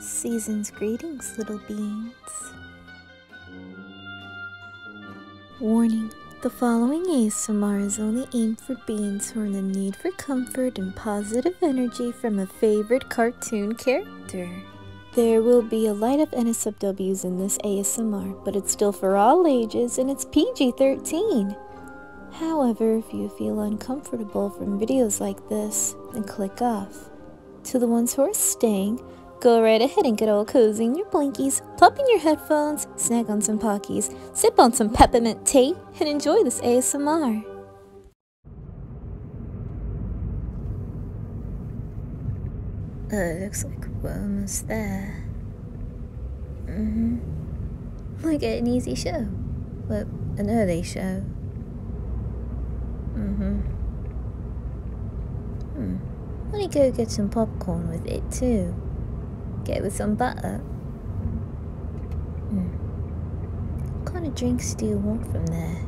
Season's greetings, little beans. Warning The following ASMR is only aimed for beans who are in the need for comfort and positive energy from a favorite cartoon character. There will be a light of NSFWs in this ASMR, but it's still for all ages and it's PG 13. However, if you feel uncomfortable from videos like this, then click off. To the ones who are staying, go right ahead and get all cozy in your blinkies, plop in your headphones, snack on some Pockies, sip on some peppermint tea, and enjoy this ASMR. Uh, it looks like we're almost there. Mm hmm Like an easy show, but an early show. Mm hmm Hmm. Wanna go get some popcorn with it too? Get with some butter. Hmm. What kind of drinks do you want from there?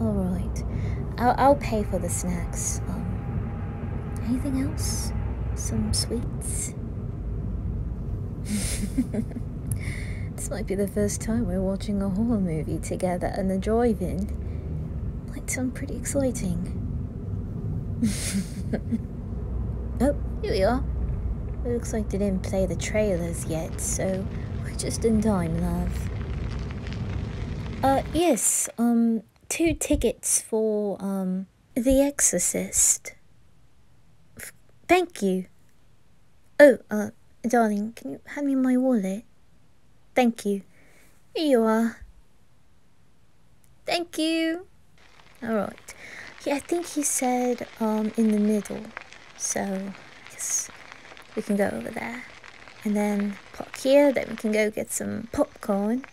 All right, I'll I'll pay for the snacks. Um, Anything else? Some sweets? this might be the first time we're watching a horror movie together and the drive in. Might sound pretty exciting. oh, here we are. It looks like they didn't play the trailers yet, so we're just in time, love. Uh, yes, um, two tickets for um, The Exorcist. thank you. Oh, uh, darling, can you hand me my wallet? Thank you. Here you are. Thank you. Alright. Yeah, I think he said um, in the middle. So, I we can go over there. And then park here, then we can go get some popcorn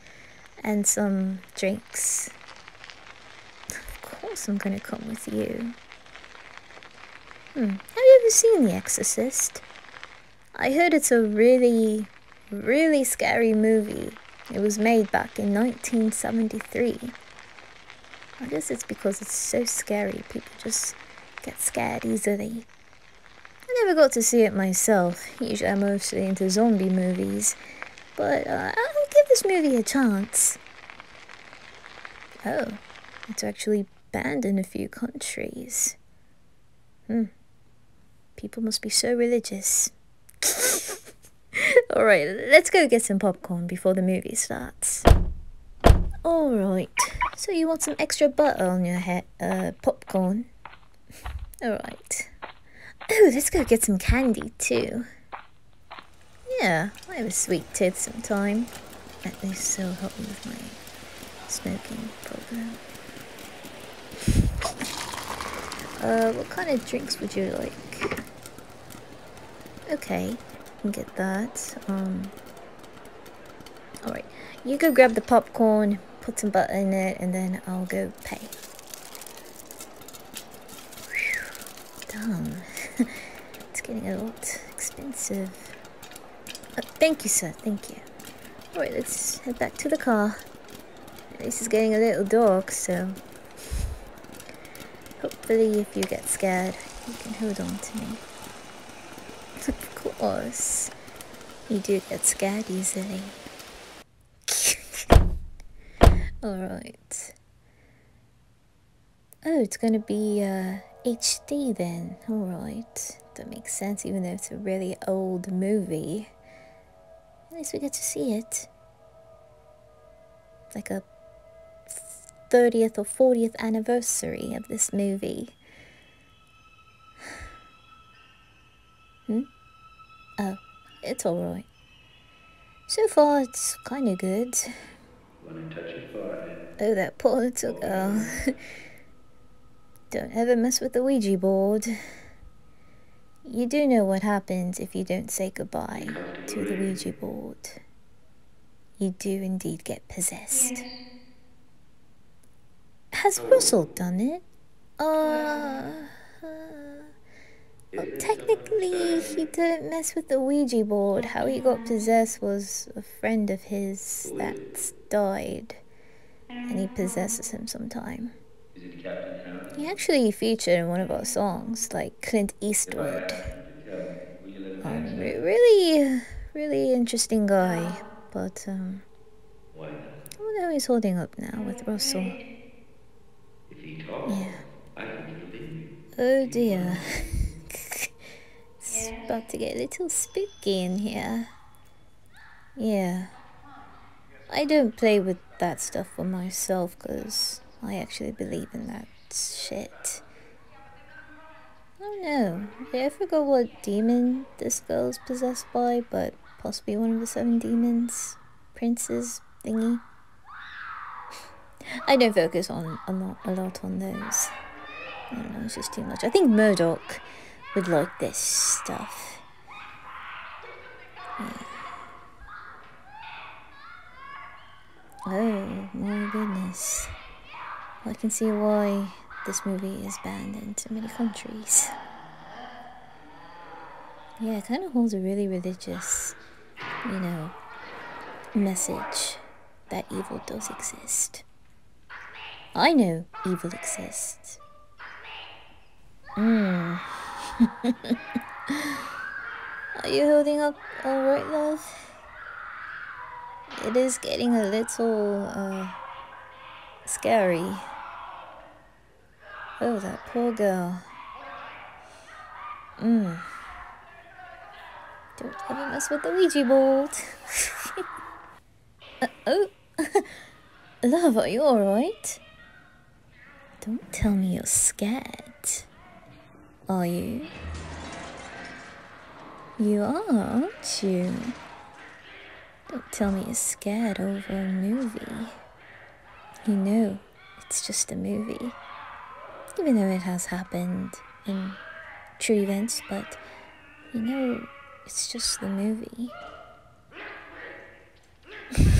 and some drinks. Of course I'm going to come with you. Hmm, have you ever seen The Exorcist? I heard it's a really, really scary movie. It was made back in 1973. I guess it's because it's so scary, people just get scared easily. I never got to see it myself, usually I'm mostly into zombie movies, but uh, I'll give this movie a chance. Oh, it's actually banned in a few countries. Hmm. People must be so religious. Alright, let's go get some popcorn before the movie starts. Alright, so you want some extra butter on your uh, popcorn? Alright. Oh, let's go get some candy too. Yeah, I have a sweet tooth sometimes. At least so help me with my smoking problem. Uh, what kind of drinks would you like? Okay, can get that. Um, alright. You go grab the popcorn, put some butter in it and then I'll go pay. Whew, it's getting a lot expensive. Uh, thank you, sir. Thank you. Alright, let's head back to the car. This is getting a little dark, so... Hopefully if you get scared, you can hold on to me. Of course. You do get scared easily. Alright. Oh, it's gonna be uh, HD then. Alright. That makes sense, even though it's a really old movie. At least we get to see it. Like a 30th or 40th anniversary of this movie. hmm? Oh, it's alright. So far, it's kinda good. Oh, that poor little girl. don't ever mess with the Ouija board. You do know what happens if you don't say goodbye to the Ouija board. You do indeed get possessed. Has Russell done it? Uh, well, um, technically, he didn't mess with the Ouija board. How he got possessed was a friend of his that's died, and he possesses him sometime. He actually featured in one of our songs, like Clint Eastwood. Um, really, really interesting guy, but um, Oh, wonder he's holding up now with Russell. yeah. Oh dear. it's about to get a little spooky in here. Yeah. I don't play with that stuff for myself because I actually believe in that shit. Oh no. not know. Did I ever what demon this girl's possessed? Boy, but possibly one of the Seven Demons, Princes thingy. I don't focus on a lot, on those. I it's just too much. I think Murdoch would like this stuff. Oh my goodness. I can see why this movie is banned in so many countries. Yeah, it kind of holds a really religious, you know, message that evil does exist. I know evil exists. Mm. Are you holding up alright, love? It is getting a little, uh, scary. Oh, that poor girl. Mmm. Don't ever mess with the Ouija board. uh, oh. Love, are you alright? Don't tell me you're scared. Are you? You are, aren't you? Don't tell me you're scared over a movie. You know, it's just a movie. Even though it has happened in true events, but you know, it's just the movie.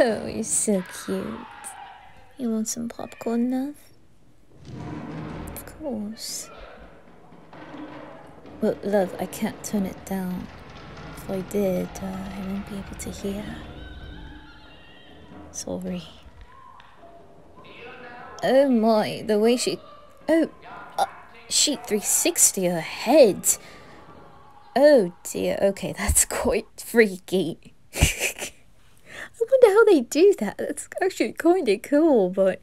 oh, you're so cute. You want some popcorn, love? Of course. But love, I can't turn it down. If I did, uh, I would not be able to hear. Sorry. Oh my, the way she... Oh, uh, 360 ahead. Oh dear, okay, that's quite freaky. I wonder how they do that. That's actually kind of cool, but.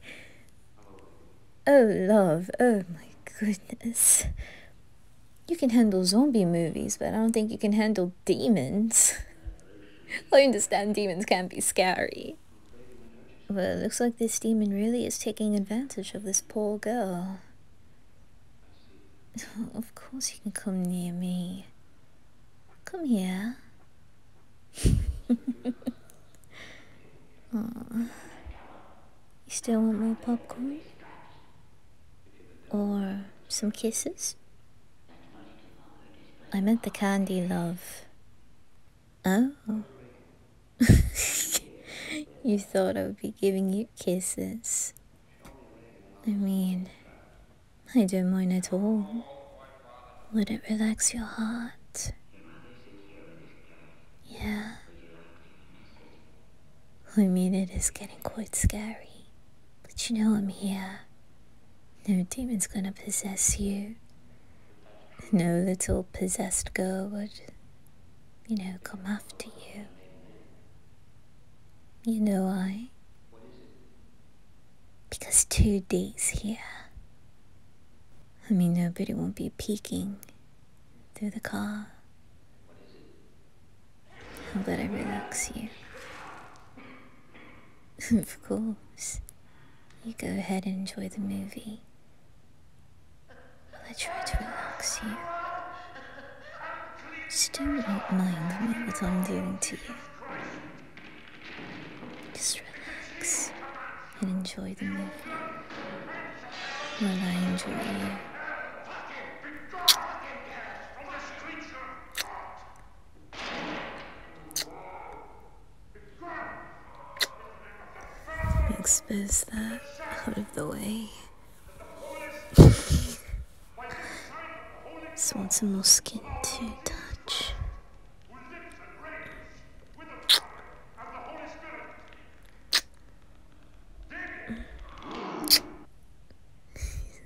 Oh, love. Oh, my goodness. You can handle zombie movies, but I don't think you can handle demons. I understand demons can be scary. but it looks like this demon really is taking advantage of this poor girl. of course he can come near me. Come here. Aww. You still want more popcorn? Or some kisses? I meant the candy, love. Oh. you thought I would be giving you kisses. I mean, I don't mind at all. Would it relax your heart? Yeah. I mean, it is getting quite scary. But you know I'm here. No demon's gonna possess you. No little possessed girl would, you know, come after you. You know I because two days here. I mean, nobody won't be peeking through the car. I'll let I relax you. of course. You go ahead and enjoy the movie. While I try to relax you. Still will not mind what I'm doing to you. Just relax and enjoy the movie while I enjoy you. Expose that out of the way. Just want some more skin to touch.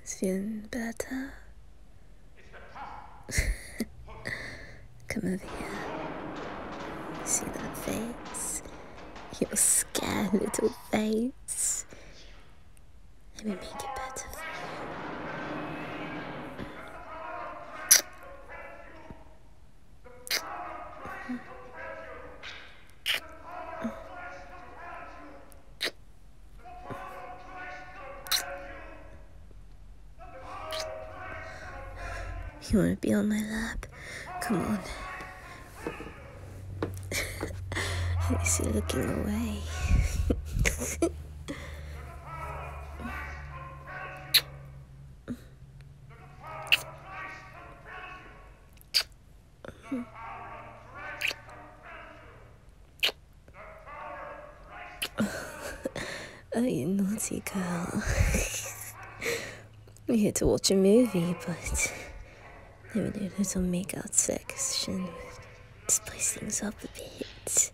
He's feeling better. Come over here. See that face? Your scared little face. Let me make it better you. want to be on my lap? Come on. I see looking away. I oh, you naughty We're here to watch a movie, but there we do a little makeout section spice things up a bit.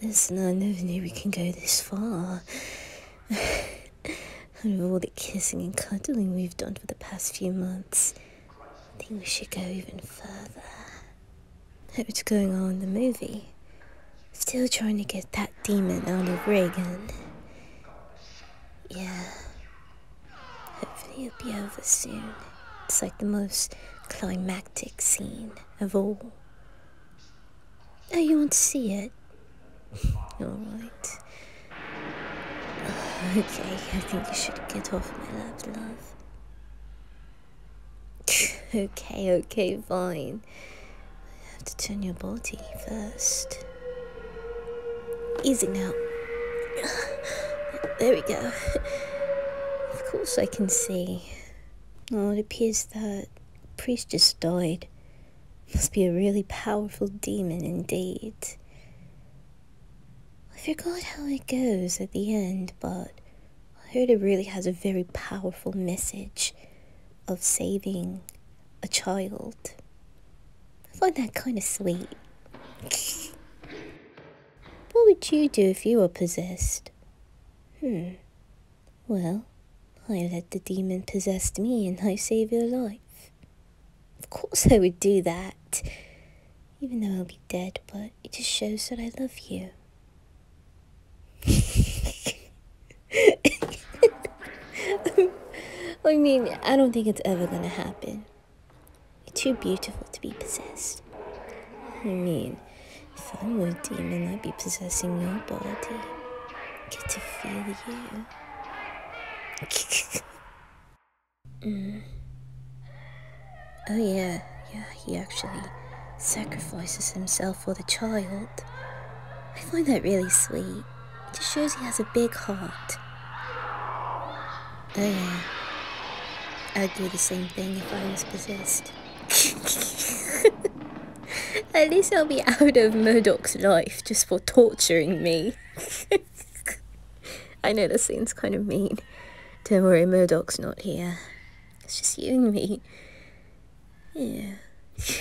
There's no, no way we can go this far. Out all the kissing and cuddling we've done for the past few months, I think we should go even further. Hope it's going on in the movie? Still trying to get that demon out of Reagan. Yeah. Hopefully it'll be over soon. It's like the most climactic scene of all. Oh, you won't see it? Alright. okay, I think you should get off my lap, love. okay, okay, fine mean, have to turn your body first. Easy now. There we go. Of course, I can see. Oh, it appears that priest just died. Must be a really powerful demon indeed. I forgot how it goes at the end, but I heard it really has a very powerful message of saving a child. I find that kind of sweet. what would you do if you were possessed? Hmm. Well, I let the demon possess me and I save your life. Of course I would do that. Even though I'll be dead, but it just shows that I love you. I mean, I don't think it's ever gonna happen. You're too beautiful to be possessed. I mean, if I were a demon, I'd be possessing your body. Get to feel you. mm. Oh yeah, yeah, he actually sacrifices himself for the child. I find that really sweet. It just shows he has a big heart. Oh yeah. I'd do the same thing if I was possessed. At least I'll be out of Murdoch's life just for torturing me. I know this seems kind of mean. Don't worry, Murdoch's not here. It's just you and me. Yeah.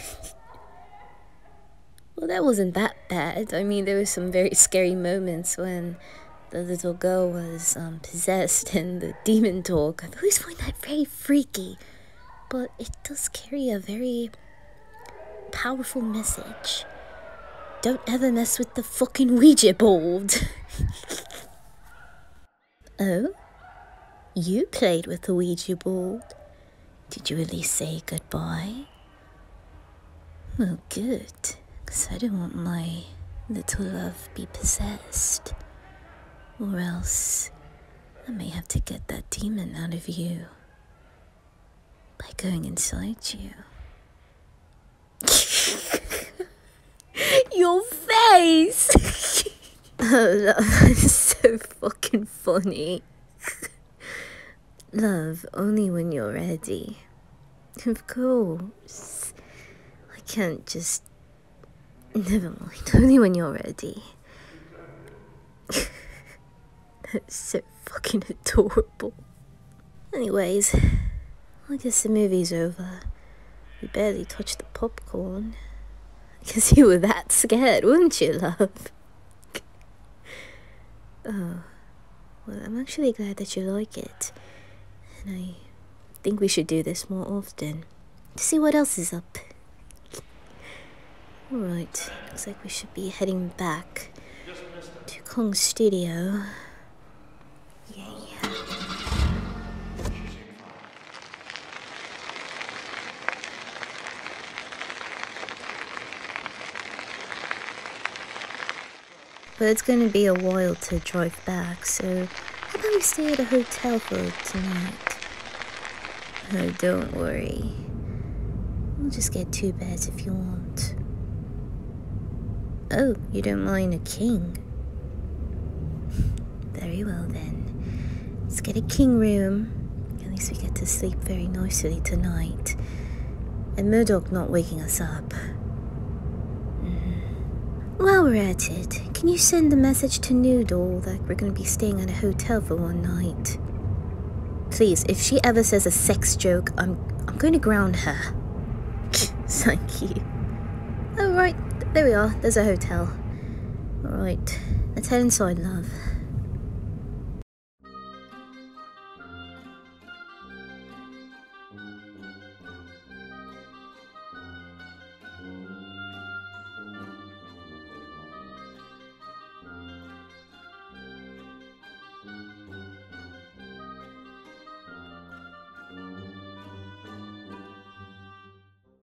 well, that wasn't that bad. I mean, there were some very scary moments when the little girl was um, possessed and the demon talked. I've always find that very freaky, but it does carry a very powerful message. Don't ever mess with the fucking Ouija board. oh? You played with the Ouija board? Did you really say goodbye? Well, good, because I don't want my little love be possessed. Or else I may have to get that demon out of you by going inside you. Your face! oh, that's so fucking funny. Love only when you're ready. Of course. I can't just. Never mind. Only when you're ready. That's so fucking adorable. Anyways, I guess the movie's over. We barely touched the popcorn. Because you were that scared, weren't you, love? oh, well, I'm actually glad that you like it. And I think we should do this more often to see what else is up. Alright, looks like we should be heading back to Kong studio. Yeah, yeah. But it's going to be a while to drive back, so how about we stay at a hotel for tonight? Oh, don't worry. We'll just get two beds if you want. Oh, you don't mind a king? Very well then. Let's get a king room. At least we get to sleep very nicely tonight. And Murdoch not waking us up. Mm-hmm. While we're at it, can you send a message to Noodle that we're going to be staying at a hotel for one night? Please, if she ever says a sex joke, I'm I'm going to ground her. Thank you. Alright, there we are. There's a hotel. Alright, let's head inside, love.